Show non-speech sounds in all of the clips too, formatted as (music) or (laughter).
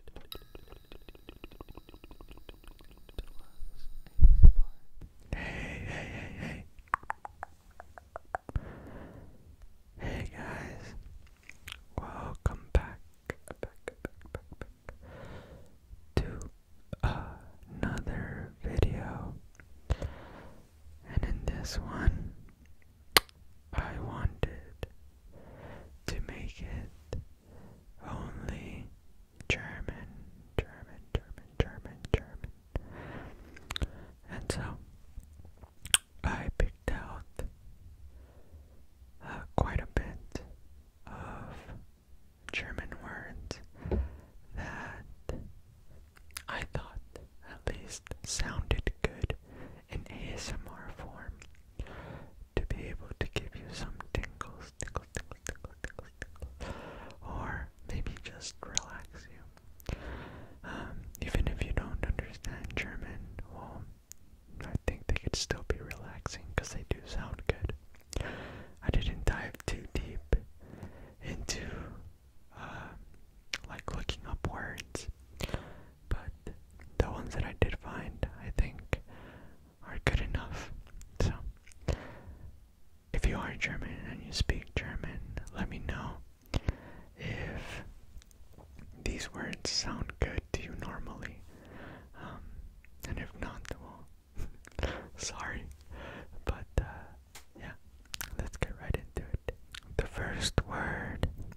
Hey, guys. Welcome back to another video. And in this one, I wanted to make it only German, German, German, German, German. And so I picked out uh, quite a bit of German words that I thought at least sounded good in ASMR form to be able to give you some tingles, tingles, tingles, tingles, tingles, or maybe just relax you. Um, even if you don't understand German, well, I think they could still be relaxing because they do sound good. I didn't dive too deep into uh, like looking up words but the ones that I did find, I think, are good enough. So, if you are German and you speak German, let me know if these words sound good to you normally. Um, and if not, well, (laughs) sorry. But, uh, yeah, let's get right into it. The first word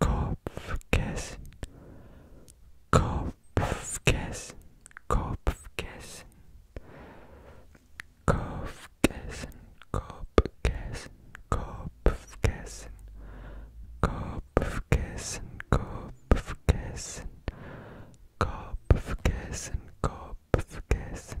Kopfkissen, Kopfkissen, Kopfkissen, Kopfkissen, Kopfkissen, Kopfkissen, Kopfkissen, Kopfkissen, Kopfkissen, Kopfkissen, Kopfkissen, Kopfkissen,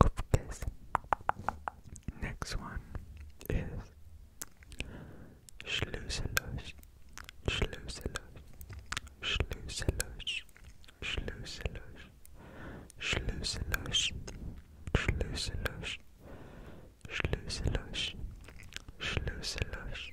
Cupcakes. Next one is Schluselush. Schluselush. Schluselush. Schluselush. Schluselush. Schluselush. Schluselush. Schluselush.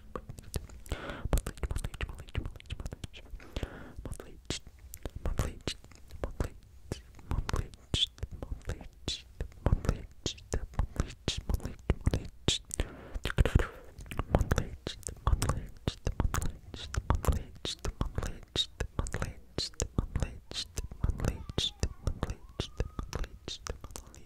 monthly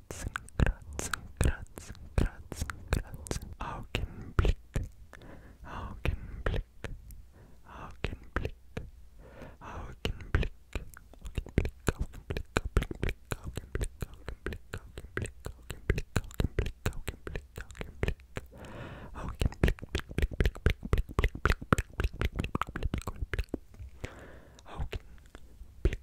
kratzen, kratzen, kratzen, kratzen, kratzen. Augenblick, Augenblick, Augenblick, Augenblick, Augenblick, Augenblick, Augenblick, Augenblick, Augenblick, Augenblick, Augenblick, Augenblick, Augenblick, Augenblick. Augenblick, Blick, Blick, Blick, Blick, Blick, Blick, Blick, Blick, Blick, Blick, Blick, Blick, Augenblick,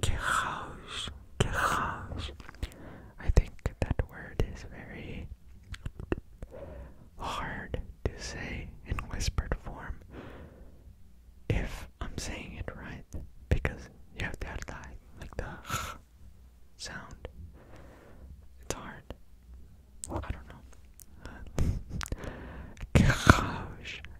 Que house, que house. I think that word is very hard to say in whispered form. If I'm saying it right, because you have to add like, like the sound. It's hard. I don't know. Uh, (laughs)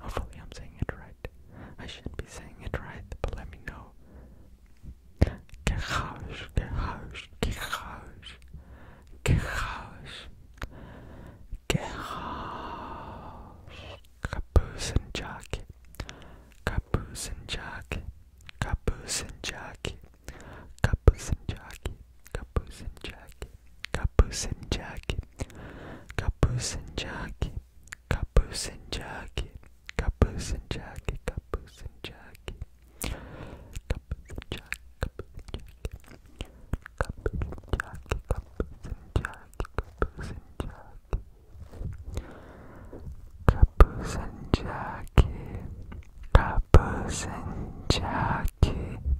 Hopefully, I'm saying it right. I should be saying it right, but let me know. Gehaus, Gehaus, Gehaus, Gehaus, Gehaus, Kapuzenjaki, Kapuzenjaki, Kapuzenjaki, Kapuzenjaki, Kapuzenjaki, Capuchin jacket, capuchin jacket, capuchin jacket, capuchin jacket, capuchin jacket, capuchin jacket, capuchin jacket, capuchin jacket, capuchin jacket, capuchin jacket, capuchin jacket, capuchin jacket.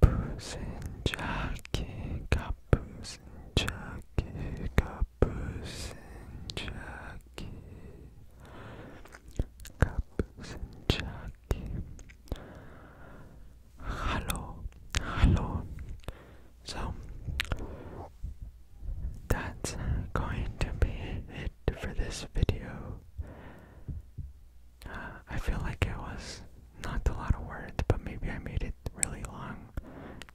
가부슨 자켓 가부슨 자켓 가부슨 자켓 가부슨 자켓 Hallo, hallo. So that's going to be it for this video. Uh, I feel like it was not a lot of words, but maybe I made it really long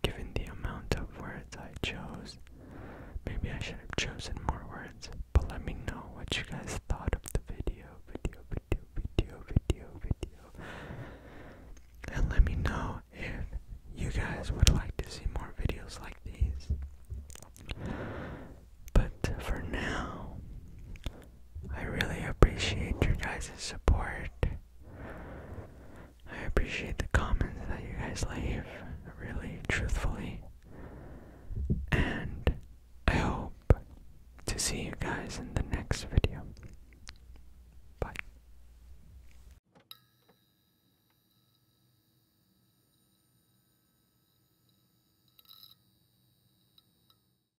given the amount of words I chose. Maybe I should have chosen more words, but let me know what you guys thought of the video, video, video, video, video, video. And let me know if you guys would like to see more videos like these. But for now, I really appreciate your guys' support. I appreciate the comments that you guys leave, really truthfully. And I hope to see you guys in the next video. Bye.